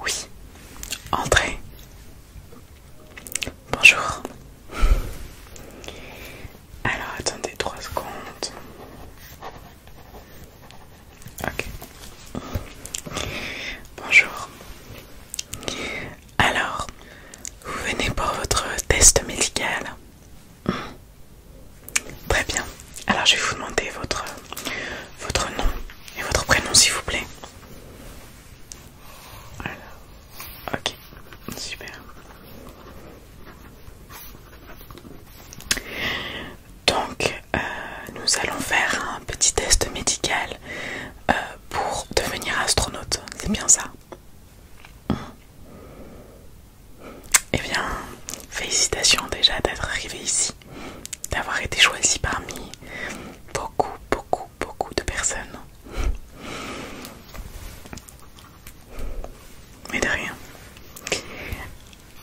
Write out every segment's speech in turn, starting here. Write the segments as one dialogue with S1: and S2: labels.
S1: Oui, entrez. Bonjour. Alors attendez trois secondes. Ok. Bonjour. Alors, vous venez pour votre test médical. Très bien. Alors je vais vous demander votre, nom et votre prénom s'il vous plaît. Ok, super. Donc euh, nous allons faire un petit test médical euh, pour devenir astronaute, c'est bien ça eh bien, félicitations déjà d'être arrivé ici, d'avoir été choisi parmi beaucoup, beaucoup, beaucoup de personnes. Mais de rien.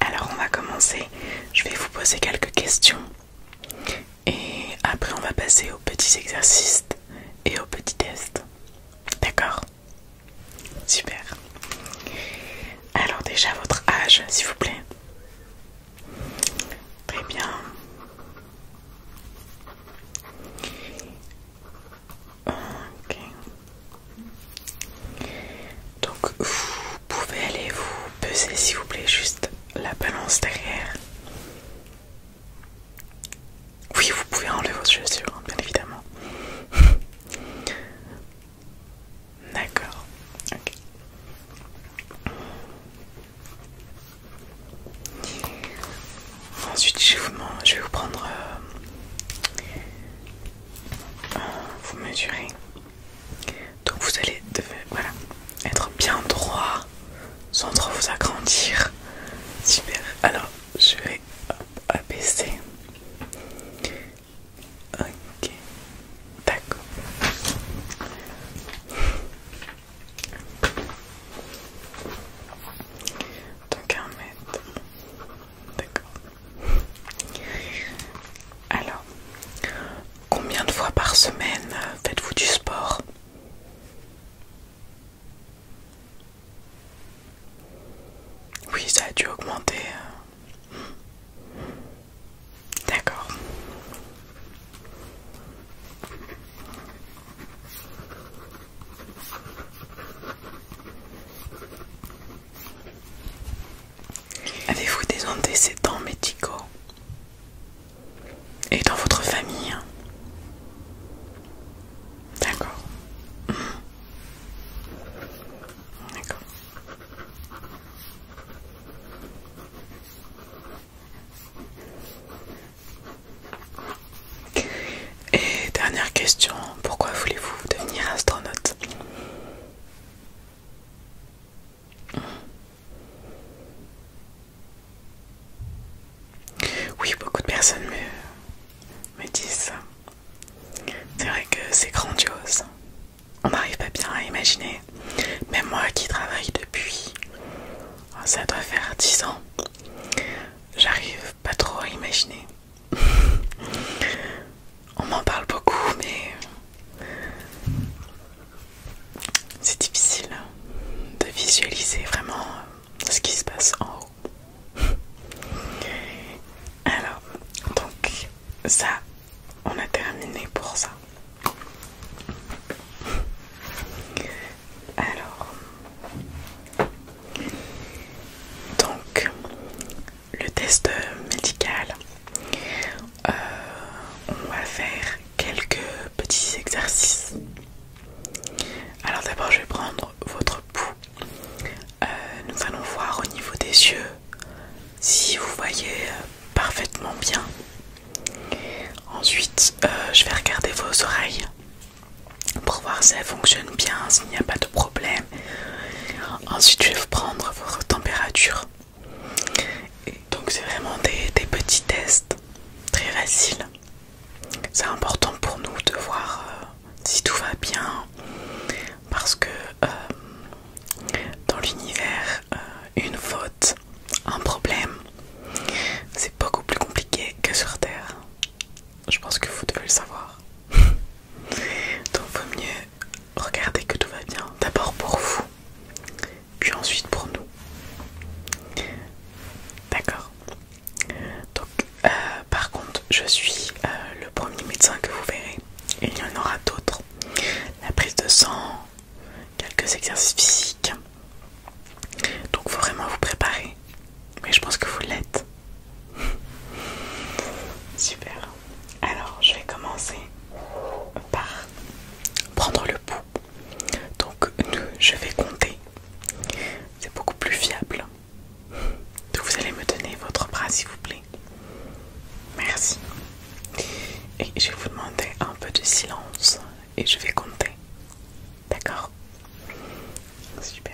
S1: Alors on va commencer. Je vais vous poser quelques questions. Et après on va passer aux petits exercices et aux petits tests. D'accord Super. Alors déjà votre âge, s'il vous plaît. Très bien. Ok. Donc vous pouvez aller vous peser, s'il vous plaît, juste la balance derrière. Oui, vous pouvez enlever votre chaussures, hein, bien évidemment. D'accord. Ensuite, je vais vous, prendre. Euh, vous mesurez. Donc, vous allez devoir être bien droit sans trop vous agrandir. Super. Alors, je vais abaisser. Ok, d'accord. Donc un mètre. D'accord. Alors, combien de fois par semaine faites-vous du sport oui, ça a dû augmenter. Hein. D'accord. Avez-vous des antécédents médicaux Et dans votre famille hein? D'accord. Et dernière question, pourquoi voulez-vous devenir astronaute Oui, beaucoup de personnes me, me disent ça. C'est vrai que c'est grandiose. On n'arrive pas bien à imaginer. Même moi qui travaille depuis, oh, ça doit faire 10 ans, j'arrive pas trop à imaginer. On m'en parle beaucoup, mais c'est difficile de visualiser vraiment ce qui se passe en haut. Alors, donc ça, on a terminé pour ça. Alors, donc le test médical, euh, on va faire quelques petits exercices. Alors d'abord, je vais prendre votre pouls euh, nous allons voir au niveau des yeux si vous voyez euh, parfaitement bien. Ensuite, euh, je vais regarder vos oreilles pour voir si elles fonctionnent bien, s'il n'y a pas de problème. Ensuite, je vais vous prendre votre température. donc, c'est vraiment des petits tests très faciles. C'est important pour nous de voir si tout va bien, parce que euh, dans l'univers, euh, une faute, un problème, c'est beaucoup plus compliqué que sur Terre. Je pense que vous devez le savoir. Donc vaut mieux regarder que tout va bien, d'abord pour vous, puis ensuite pour nous. D'accord donc, euh, par contre, je suis euh, le premier médecin que vous verrez. il y en aura d'autres. La prise de sang, quelques exercices physiques. Donc, il faut vraiment vous préparer. Mais je pense que vous l'êtes. Super. Alors, je vais commencer par prendre le pouls. Donc, je vais compter. C'est beaucoup plus fiable. Donc vous allez me donner votre bras s'il vous plaît. Merci. Et je vais vous demander un peu de silence et je vais compter. D'accord Super.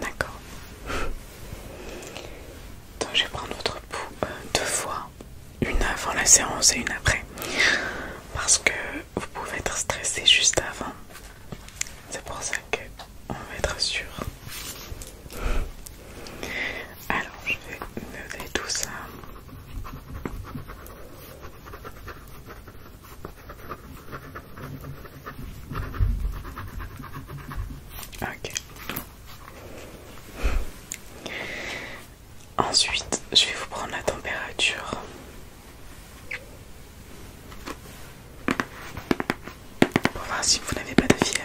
S1: D'accord. Donc je vais prendre votre pouls euh, deux fois, une avant la séance et une après. Parce que vous pouvez être stressé juste avant. C'est pour ça qu'on on va être sûr. Alors je vais lever tout ça. Ensuite, je vais vous prendre la température. Pour voir si vous n'avez pas de fièvre.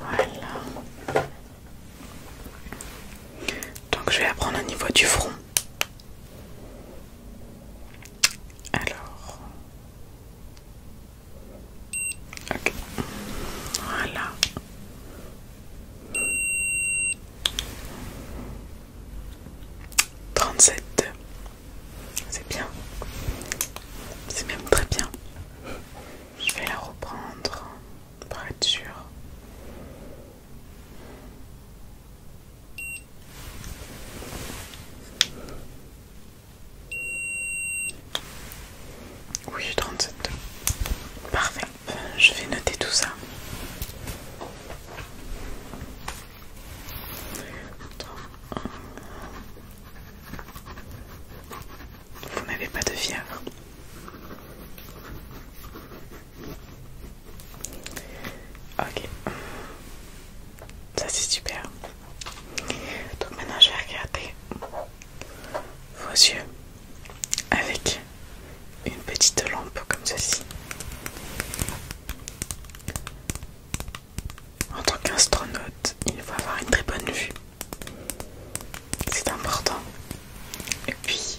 S1: Voilà. Donc je vais apprendre au niveau du front. Alors, Ok. Voilà. trente C'est bien. C'est même très bien. Je vais la reprendre pour être sûr. Oui, 37. Parfait. Euh, je vais noter tout ça. Vous n'avez pas de fièvre. Ok. Ça c'est super. Donc maintenant je vais regarder vos yeux avec une petite lampe comme ceci. En tant qu'astronaute, il faut avoir une très bonne vue. C'est important. Et puis,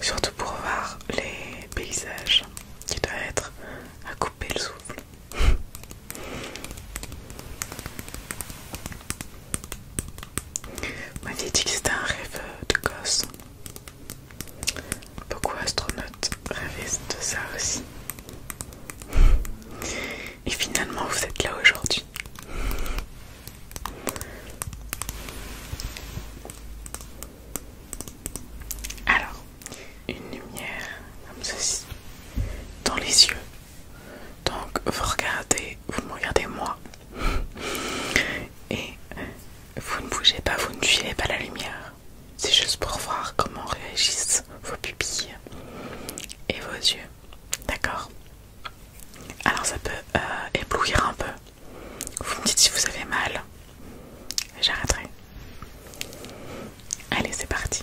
S1: surtout pour voir les paysages qui doivent être à couper le souffle. Vous c'est dit que un rêve de gosse. Beaucoup d'astronautes rêvaient de ça aussi. Et finalement, vous êtes là aujourd'hui. Alors, une lumière comme ceci dans les yeux. Donc vous regardez, vous me regardez moi. Et vous ne bougez pas, vous ne filez pas la lumière. C'est juste pour voir comment réagissent vos pupilles et vos yeux. D'accord Alors ça peut euh, éblouir un peu. Vous me dites si vous avez mal. J'arrêterai. Allez, c'est parti.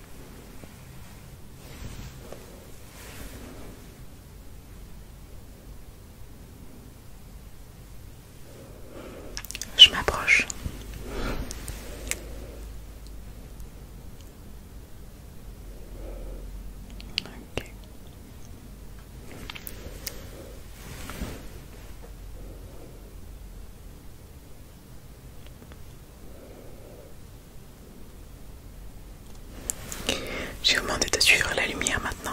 S1: Je m'approche. Je vous demande de suivre la lumière maintenant.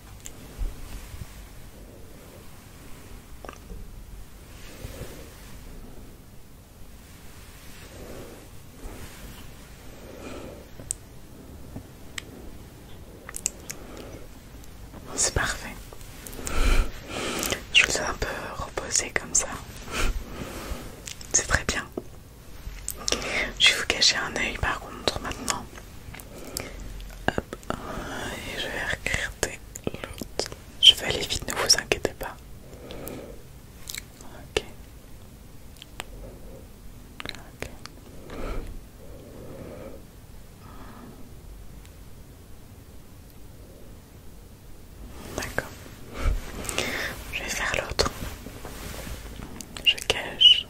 S1: C'est parfait. Je vous ai un peu reposé comme ça. C'est très bien. Je vais vous cacher un œil par contre maintenant. Euh, je vais recréer l'autre. Je vais aller vite, ne vous inquiétez pas. Ok. Ok. D'accord. Je vais faire l'autre. Je cache.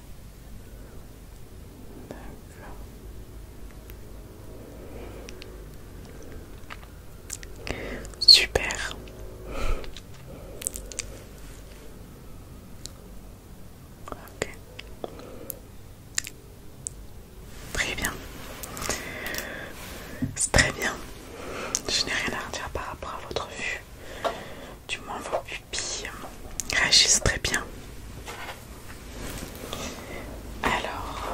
S1: Super. Très bien. C'est très bien. Je n'ai rien à redire par rapport à votre vue. Du moins vos pupilles réagissent très bien. Alors,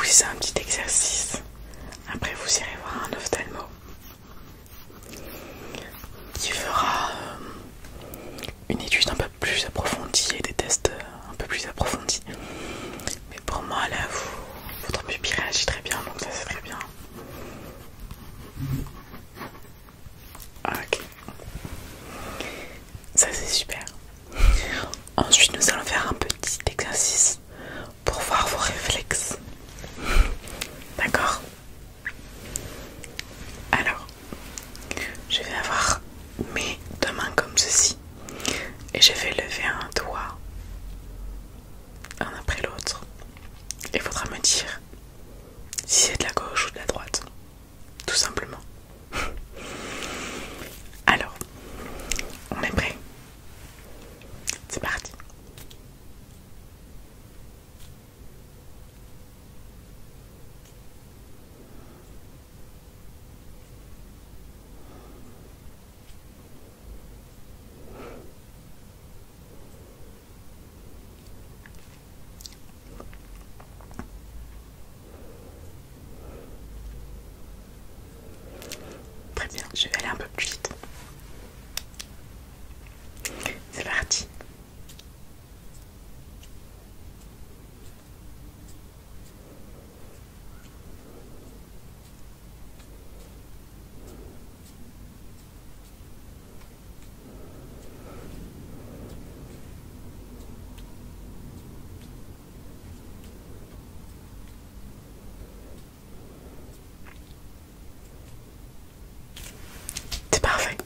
S1: oui, c'est un petit exercice. Après, vous irez voir un ophtalmo qui fera euh, une étude un peu plus approfondie et des tests euh, un peu plus approfondis mais pour moi là, vous, votre pupille réagit très bien, donc ça c'est très bien. Ah, ok. Ça c'est super. Ensuite nous allons faire un petit exercice pour voir vos réflexes. D'accord Alors, je vais avoir mes deux mains comme ceci. Et je vais lever un doigt un après l'autre. Il faudra me dire si c'est de la gauche ou de la droite. Tout simplement. Alors, on est prêt C'est parti. Très bien, je vais aller un peu plus vite. C'est parti. C'est parfait.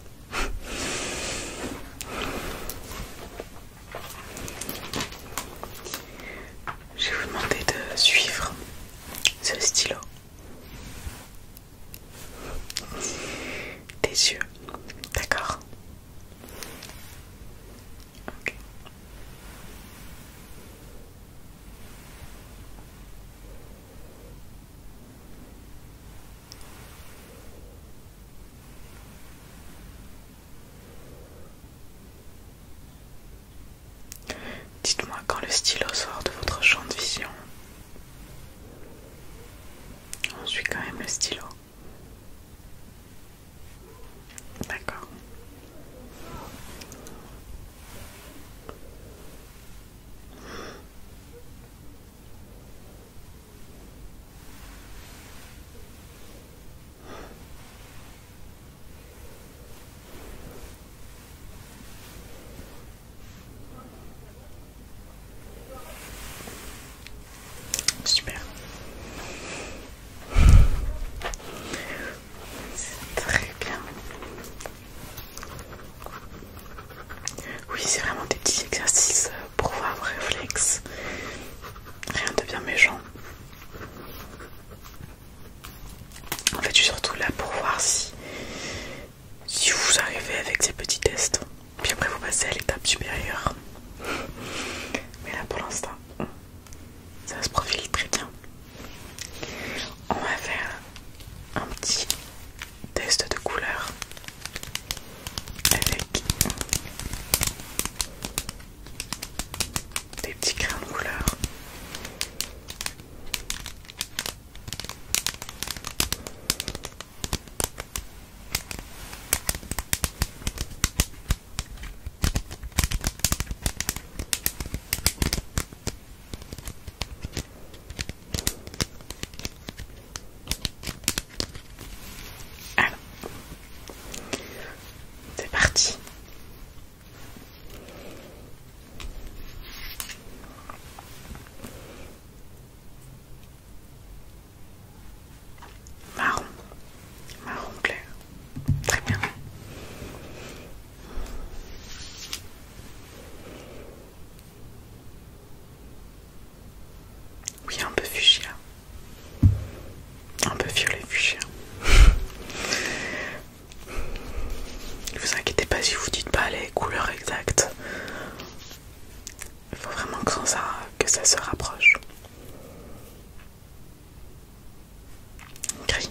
S1: Je vais vous demander de suivre ce stylo des yeux, d'accord D'accord. Dites-moi quand le stylo sort de votre champ de vision. On suit quand même le stylo. D'accord. Super. très bien. Oui, c'est vraiment des petits exercices euh, pour voir réflexes Rien de bien méchant. En fait, je suis surtout là pour voir si, si vous arrivez avec ces petits tests. Puis après, vous passez à l'étape supérieure. Mais là, pour l'instant, ça se profile très bien. On va faire un petit test de couleur avec des petits crayons de couleur. c'est parti. Marron, marron clair, très bien. Oui, un peu fuchsia, un peu violet fuchsia. Ne vous inquiétez pas si vous dites pas les couleurs exactes. Il faut vraiment que ça, que ça se rapproche. Gris.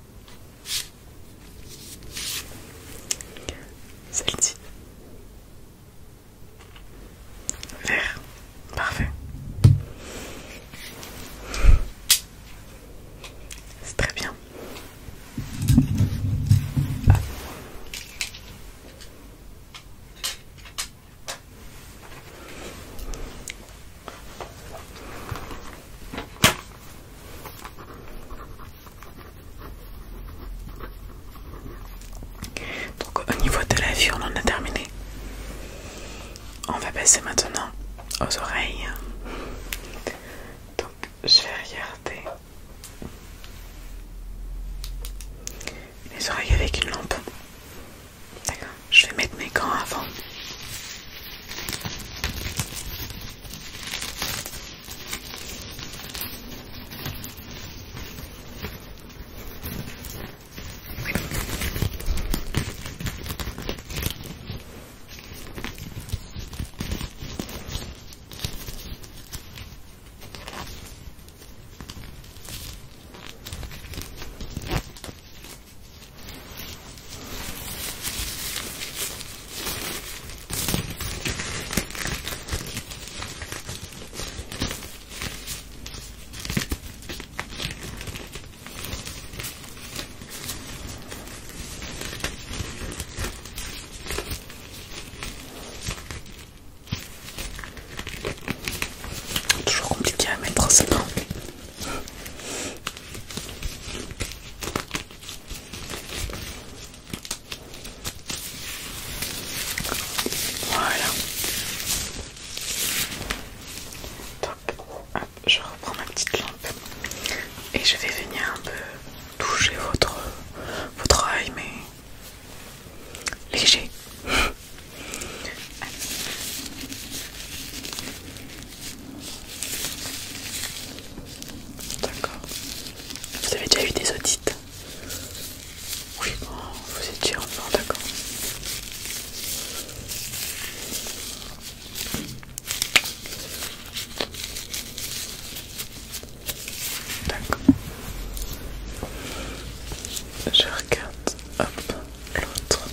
S1: Celle-ci. Vert. Parfait. C'est très bien. Ah. Donc au niveau de la vue, on en a terminé. On va passer maintenant aux oreilles. Donc je vais regarder les oreilles avec une lampe. D'accord. Je vais mettre mes gants avant. Toujours compliqué à mettre en ce voilà. je reprends ma petite lampe et je vais venir un peu toucher votre votre œil mais léger. D'accord. Vous avez déjà eu des audits Oui, vous étiez en d'accord. D'accord. Je regarde. Hop l'autre.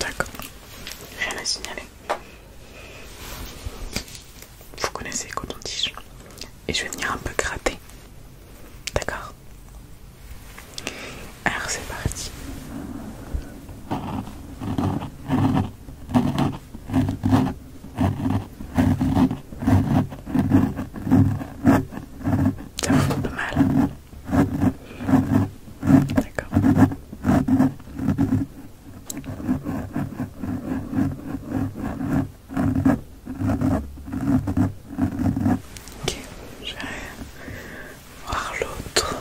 S1: D'accord, rien à signaler. Vous connaissez coton-tige. Et je vais venir un peu gratter D'accord Alors c'est parti. Ça fait pas mal. D'accord. Ok, je vais voir l'autre.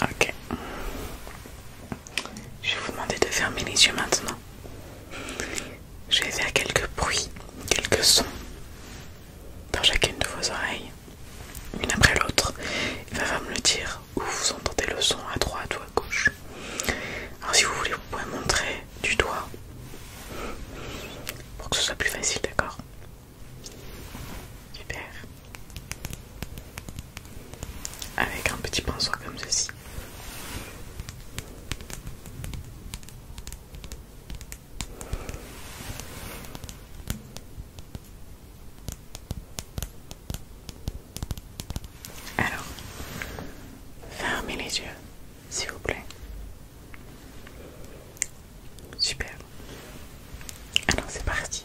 S1: Ok. Je vais vous demander de fermer les yeux maintenant. J'ai fait faire quelques bruits, quelques sons dans chacune de vos oreilles, une après l'autre. Il va me le dire où vous entendez le son à droite ou à gauche. Alors si vous voulez, vous pouvez montrer du doigt pour que ce soit plus facile, d'accord Super avec un petit pinceau comme ceci. Alors, fermez les yeux, s'il vous plaît. Super. Alors, c'est parti.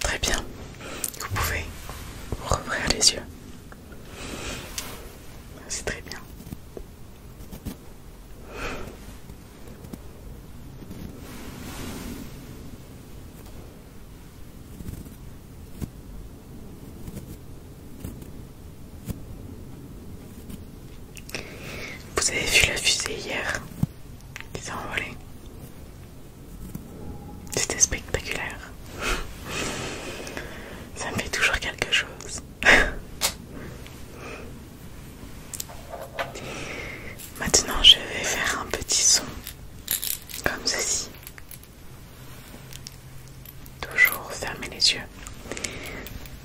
S1: Très bien, vous pouvez ouvrir les yeux. C'est très bien. Vous avez vu la fusée hier qui s'est envolé. C'était spectaculaire. Ça me fait toujours quelque chose. Maintenant, je vais faire un petit son comme ceci. Toujours fermez les yeux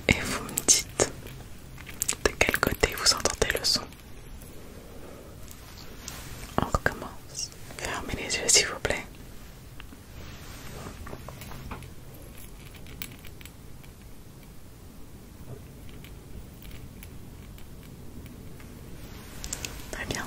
S1: et vous me dites de quel côté vous entendez le son. On recommence. Fermez les yeux s'il vous plaît. Très bien.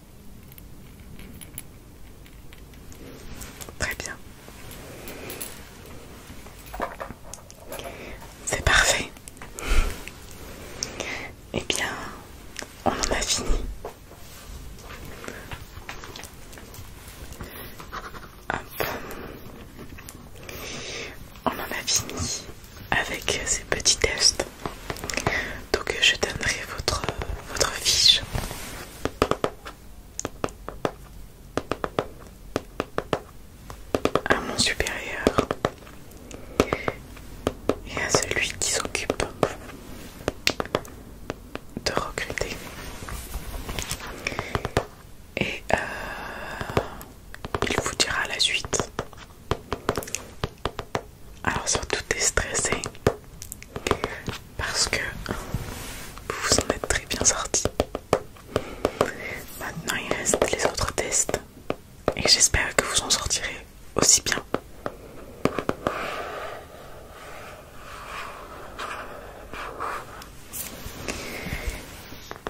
S1: Très bien. C'est parfait. Eh bien, on en a fini. On en a fini avec ces petits tests donc euh, je donnerai votre, votre fiche. À mon supérieur et à celui qui s'occupe de recruter. Et euh, il vous dira la suite. Alors surtout stressé parce que vous vous en êtes très bien sorti. Maintenant il reste les autres tests et j'espère que vous en sortirez aussi bien.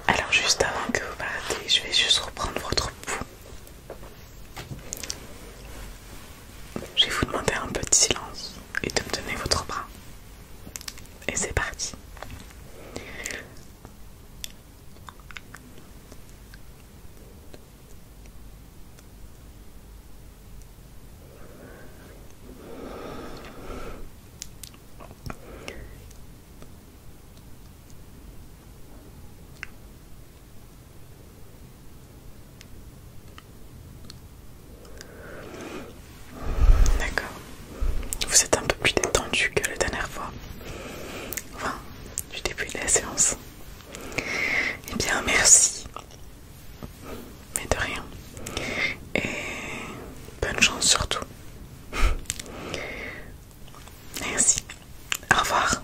S1: Alors juste avant que vous partez, je vais juste reprendre votre pouls je vais vous demander un peu de silence et de me votre bras. Et c'est parti. D'accord. Vous êtes un peu plus détendu que la dernière fois. Enfin, du début de la séance. Eh bien, merci. Mais de rien. Et bonne chance surtout. Merci. Au revoir.